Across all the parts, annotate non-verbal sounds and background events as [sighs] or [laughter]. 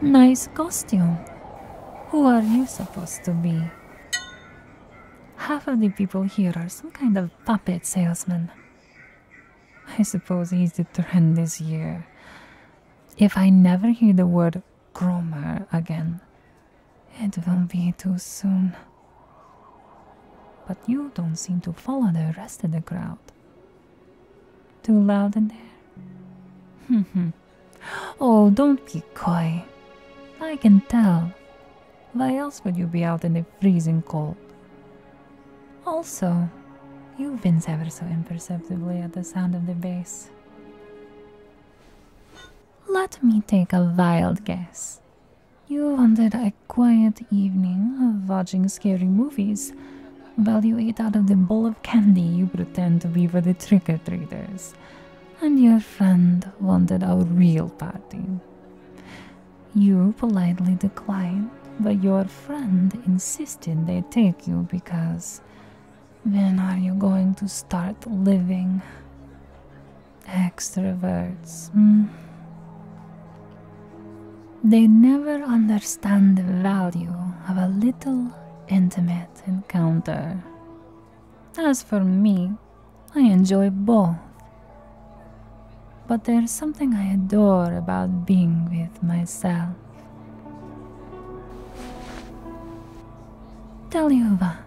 Nice costume. Who are you supposed to be? Half of the people here are some kind of puppet salesman. I suppose he's the trend this year. If I never hear the word Cromer again, it will not be too soon. But you don't seem to follow the rest of the crowd. Too loud in there? Hmm. [laughs] oh, don't be coy. I can tell. Why else would you be out in the freezing cold? Also, you wince ever so imperceptibly at the sound of the bass. Let me take a wild guess. You wanted a quiet evening watching scary movies while you ate out of the bowl of candy you pretend to be with the trick or treaters, and your friend wanted our real party. You politely declined, but your friend insisted they take you because. When are you going to start living? Extroverts. Hmm. They never understand the value of a little intimate encounter. As for me, I enjoy both. But there's something I adore about being with myself. Tell you what,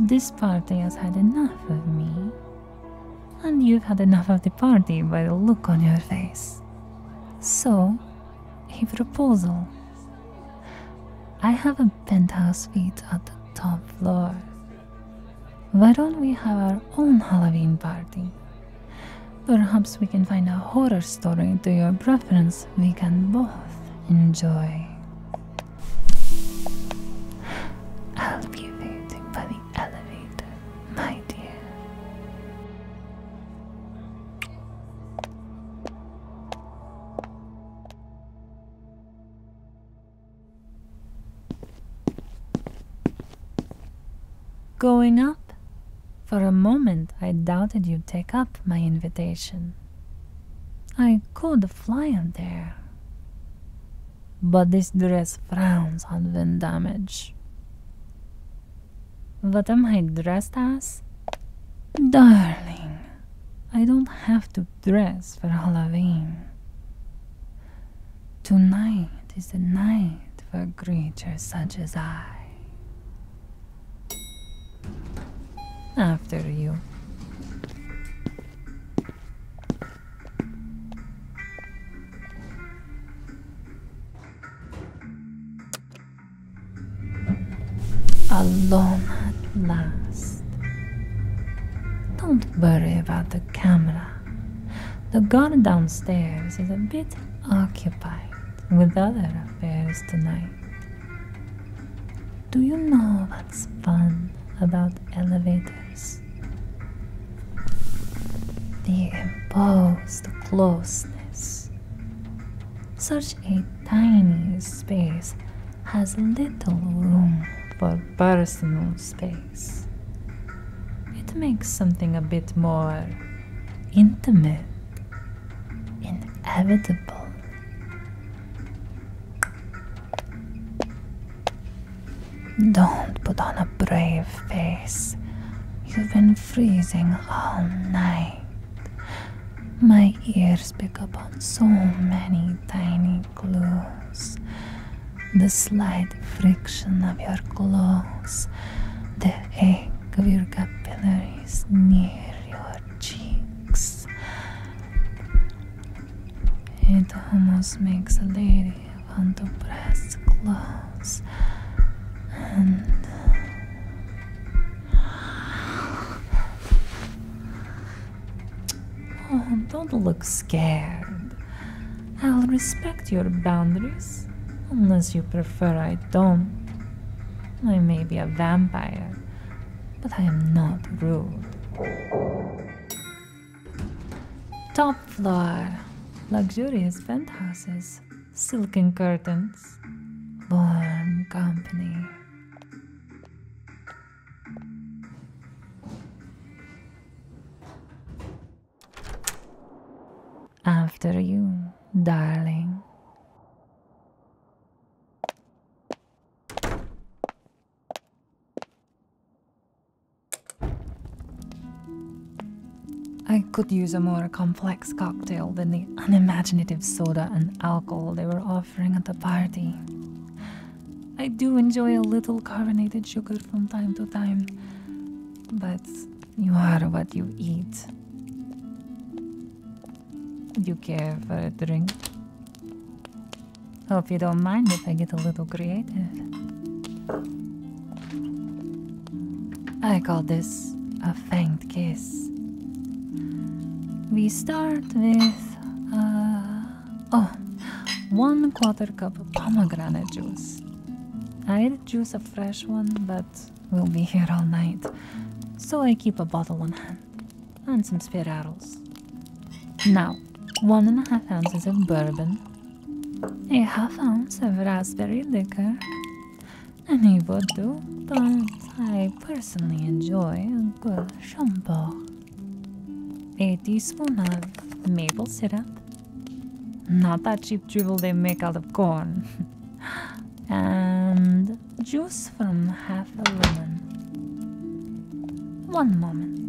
this party has had enough of me. And you've had enough of the party by the look on your face. So, a proposal. I have a penthouse suite at the top floor. Why don't we have our own Halloween party? Perhaps we can find a horror story to your preference we can both enjoy. I'll be waiting by the elevator, my dear. Going up? For a moment I doubted you'd take up my invitation. I could fly up there but this dress frowns at wind damage. What am I dressed as? Darling, I don't have to dress for Halloween. Tonight is the night for creatures such as I. After you. Alone at last. Don't worry about the camera. The guard downstairs is a bit occupied with other affairs tonight. Do you know it's fun about elevators. They impose closeness. Such a tiny space has little room for personal space. It makes something a bit more intimate, inevitable, don't put on a brave face. You've been freezing all night. My ears pick up on so many tiny clues. The slight friction of your clothes, the ache of your capillaries near your cheeks. It almost makes a lady want to press close oh, don't look scared. I'll respect your boundaries, unless you prefer I don't. I may be a vampire, but I am not rude. Top floor. Luxurious penthouses, silken curtains, warm company. After you, darling. I could use a more complex cocktail than the unimaginative soda and alcohol they were offering at the party. I do enjoy a little carbonated sugar from time to time, but you are what you eat. you care for a drink? Hope you don't mind if I get a little creative. I call this a faint kiss. We start with, uh, oh, one quarter cup of pomegranate juice. I'd juice a fresh one, but we'll be here all night, so I keep a bottle on hand and some spirados. Now, one and a half ounces of bourbon, a half ounce of raspberry liquor, and any would do, but I personally enjoy a good shampoo. A teaspoon of maple syrup, not that cheap dribble they make out of corn, [laughs] and juice from half a lemon. One moment.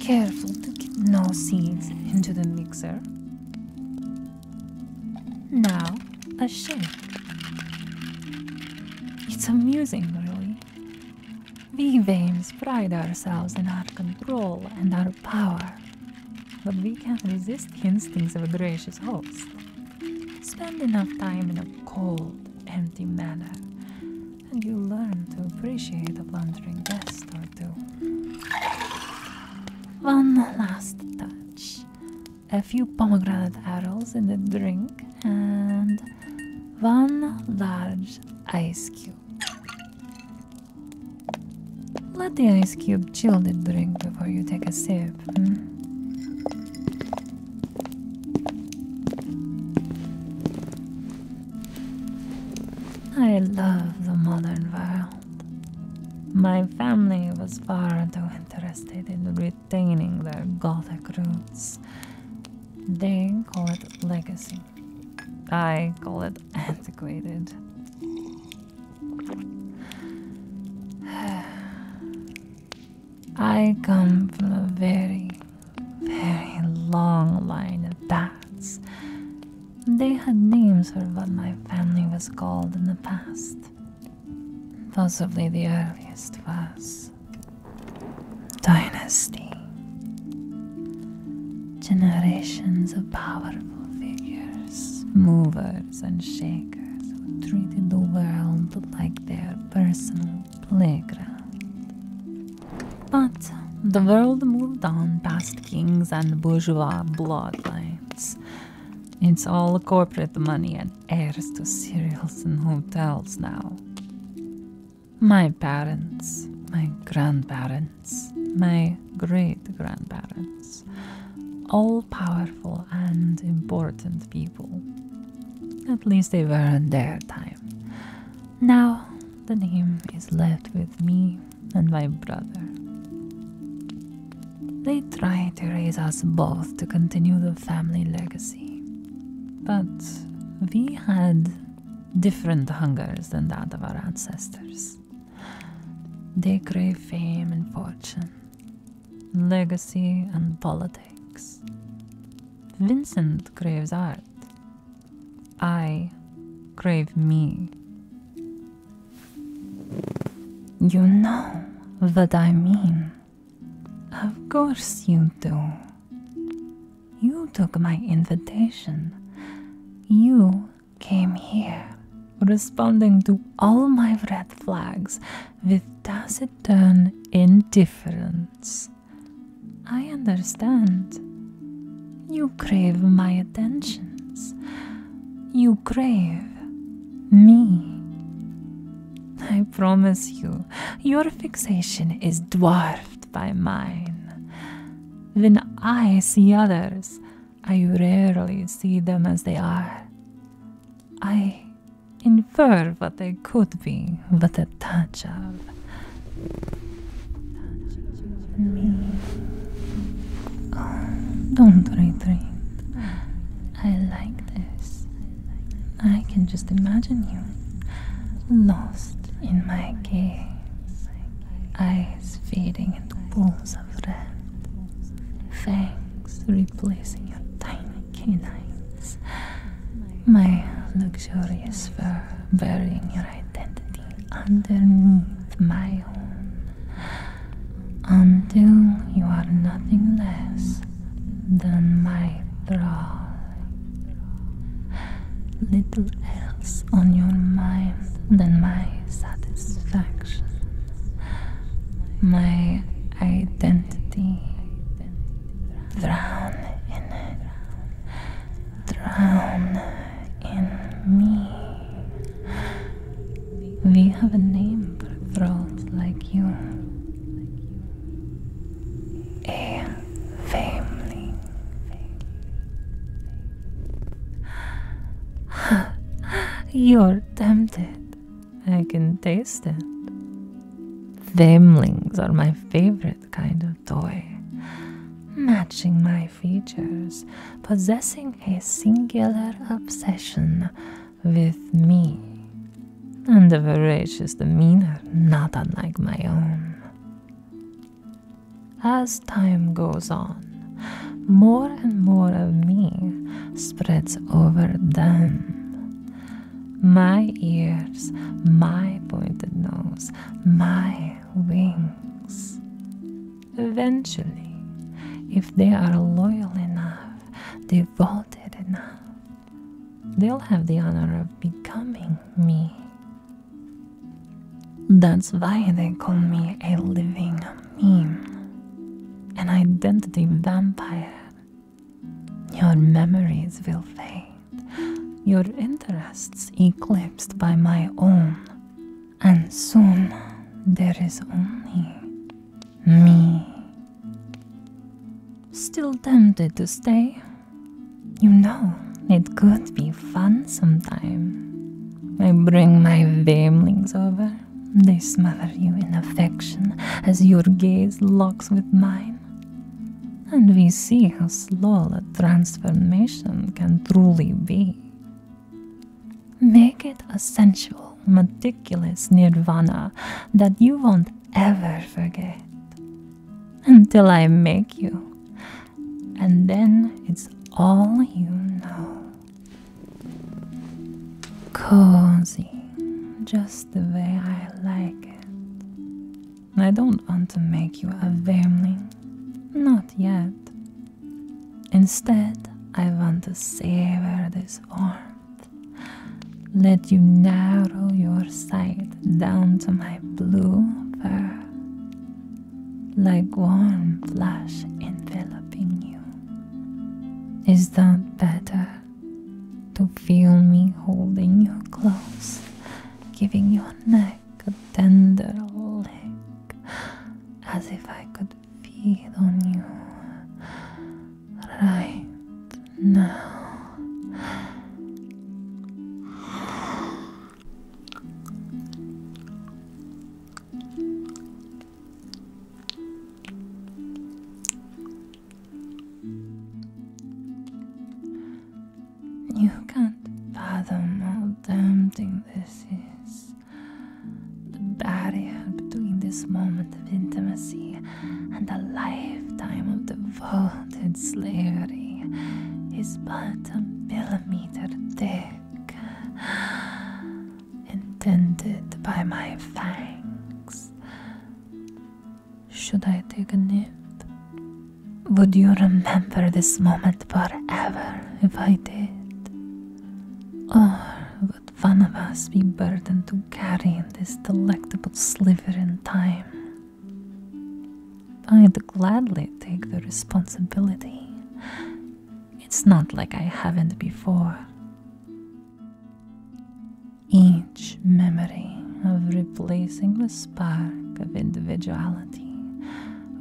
Careful to get no seeds into the mixer. Now a shake. It's amusing, really. We Vames pride ourselves in our control and our power, but we can't resist the instincts of a gracious host. Spend enough time in a cold, empty manner, and you'll learn to appreciate a blundering guest or two. One last touch a few pomegranate arrows in the drink, and one large ice cube. Let the ice cube chill the drink before you take a sip. I love the modern world. My family was far too interested in retaining their Gothic roots. They call it legacy. I call it antiquated. I come from a very, very long line of bats. They had names for what my family was called in the past. Possibly the earliest was Dynasty. Generations of powerful figures, movers and shakers who treated the world like their personal playground. But the world moved on past kings and bourgeois bloodlines. It's all corporate money and heirs to cereals and hotels now. My parents, my grandparents, my great grandparents all powerful and important people. At least they were in their time. Now the name is left with me and my brother. They tried to raise us both to continue the family legacy, but we had different hungers than that of our ancestors. They crave fame and fortune, legacy and politics. Vincent craves art. I crave me. You know what I mean. Of course you do. You took my invitation. You came here, responding to all my red flags with taciturn indifference. I understand. You crave my attentions. You crave me. I promise you, your fixation is dwarfed by mine. When I see others, I rarely see them as they are. I infer what they could be but a touch of me. Oh, don't retreat. I like this. I can just imagine you lost in my gaze, eyes fading into pools fangs replacing your tiny canines. My luxurious fur burying your identity underneath my own. Until you are nothing less than my thrall. Little else on your mind than my satisfaction. [sighs] my identity. Drown in it. Drown in me. We have a name for throats like you. A family. [sighs] You're tempted. I can taste it. Themlings are my favorite kind of toy. Matching my features, possessing a singular obsession with me, and a voracious demeanor not unlike my own. As time goes on, more and more of me spreads over them. My ears, my pointed nose, my wings. Eventually, if they are loyal enough, devoted enough, they'll have the honor of becoming me. That's why they call me a living meme, an identity vampire. Your memories will fade, your interests eclipsed by my own, and soon there is only me. Still tempted to stay? You know, it could be fun sometime. I bring my vamelings over. They smother you in affection as your gaze locks with mine. And we see how slow a transformation can truly be. Make it a sensual, meticulous nirvana that you won't ever forget. Until I make you, and then it's all you know. Cozy, just the way I like it. I don't want to make you a vermling, not yet. Instead, I want to savor this warmth. Let you narrow your sight down to my blue fur like warm flesh enveloping you. Is that better? To feel me holding you close, giving your neck a tender lick, as if I could feed on you right now. You can't fathom how tempting this is. The barrier between this moment of intimacy and a lifetime of devoted slavery is but a millimeter thick intended by my fangs. Should I take a nip? Would you remember this moment forever if I did? Or would one of us be burdened to carry in this delectable sliver in time? I'd gladly take the responsibility. It's not like I haven't before. Each memory of replacing the spark of individuality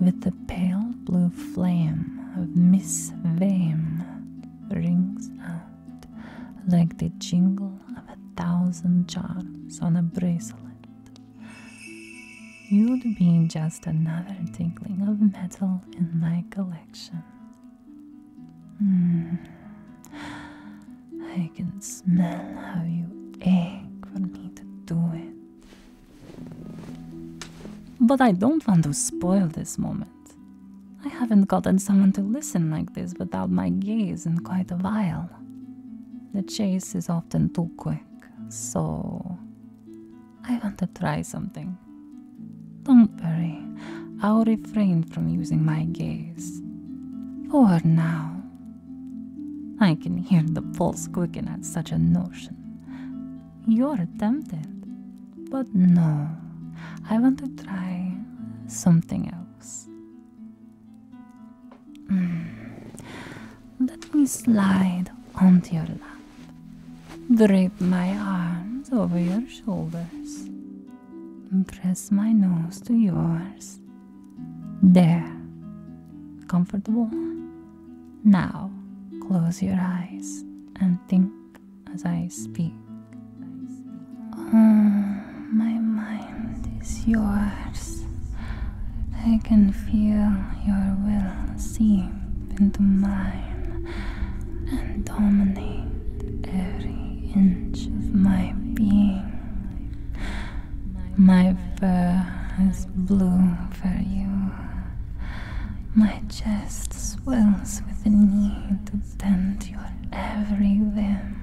with the pale blue flame of Miss Vame rings out like the jingle of a thousand charms on a bracelet. You'd be just another tinkling of metal in my collection. Hmm. I can smell how you ache for me to do it. But I don't want to spoil this moment. I haven't gotten someone to listen like this without my gaze in quite a while. The chase is often too quick so I want to try something. Don't worry, I'll refrain from using my gaze. For now, I can hear the pulse quicken at such a notion. You're tempted, but no, I want to try something else. Mm. Let me slide onto your lap. Drape my arms over your shoulders. Press my nose to yours. There. Comfortable? Now, close your eyes and think as I speak. Uh, my mind is yours. I can feel your will seep into mine and dominate every inch of my being. My fur is blue for you. My chest swells with the need to tend your every whim.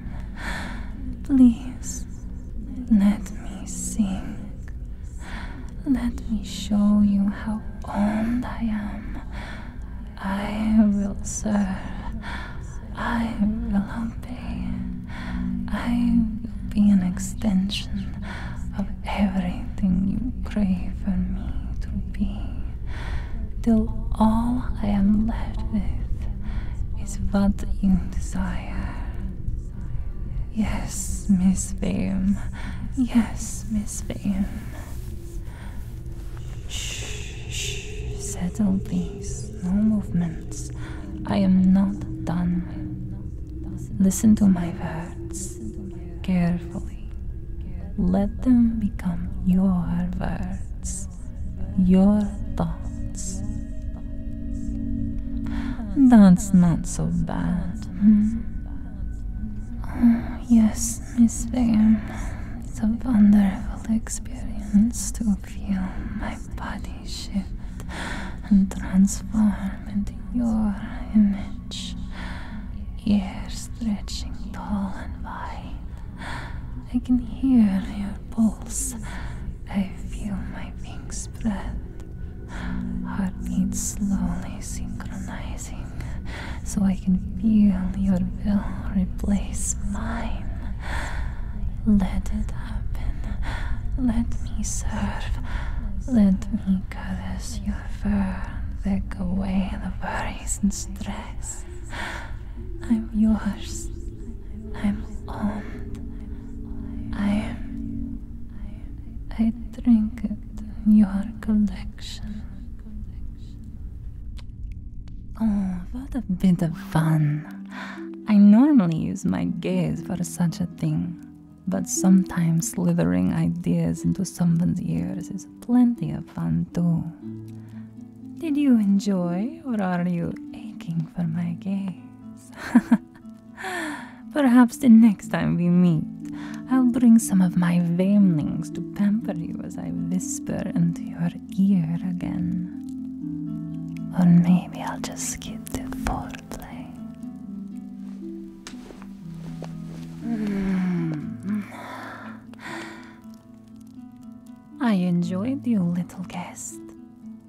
Please let me sing. Let me show you how old I am. I will serve. I will obey. I will be an extension of everything you pray for me to be. Till all I am left with is what you desire. Yes, Miss Boom. Yes, Miss Boom. shh, settle please. No movements. I am not done. Listen to my words carefully. Let them become your words, your thoughts, that's not so bad. Oh, yes, Miss Bingham. It's a wonderful experience to feel my body shift and transform into your image. Ear stretching tall and wide. I can hear your pulse I feel my wings spread, heartbeats slowly synchronizing, so I can feel your will replace mine. Let it happen. Let me serve. Let me caress your fur, take away the worries and stress. I'm yours. I'm owned. I, I drink it your collection. Oh, what a bit of fun. I normally use my gaze for such a thing, but sometimes slithering ideas into someone's ears is plenty of fun too. Did you enjoy, or are you aching for my gaze? [laughs] Perhaps the next time we meet, I'll bring some of my veilings to pamper you as I whisper into your ear again. Or maybe I'll just skip the foreplay. Mm. I enjoyed you, little guest.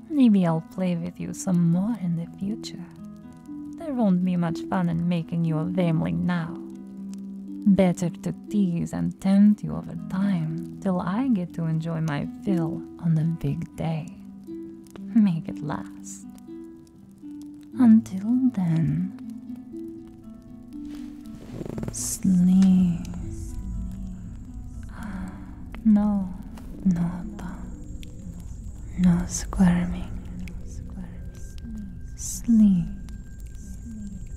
Maybe I'll play with you some more in the future. There won't be much fun in making you a vameling now. Better to tease and tempt you over time till I get to enjoy my fill on the big day. Make it last. Until then, sleep. No, no no squirming. Sleep.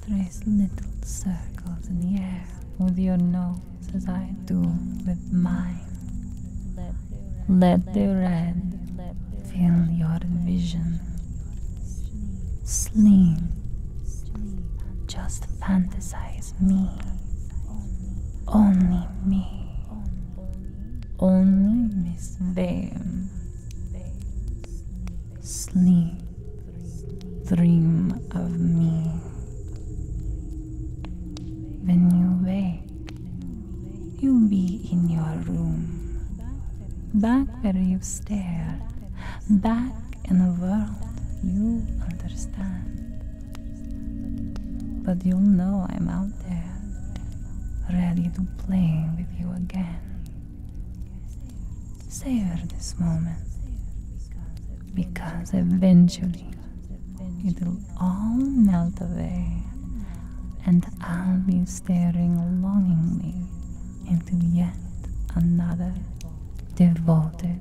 Trace little circles in the air with your nose as I do with mine. Let the red fill your vision. Sleep. Just fantasize size me. Only me. Only miss them. Sleep. Dream of me. When you wake, you'll be in your room. Back where you've stared. Back in a world you understand. But you'll know I'm out there, ready to play with you again. Savor this moment, because eventually it'll all melt away, and I'll be staring longingly into yet another devoted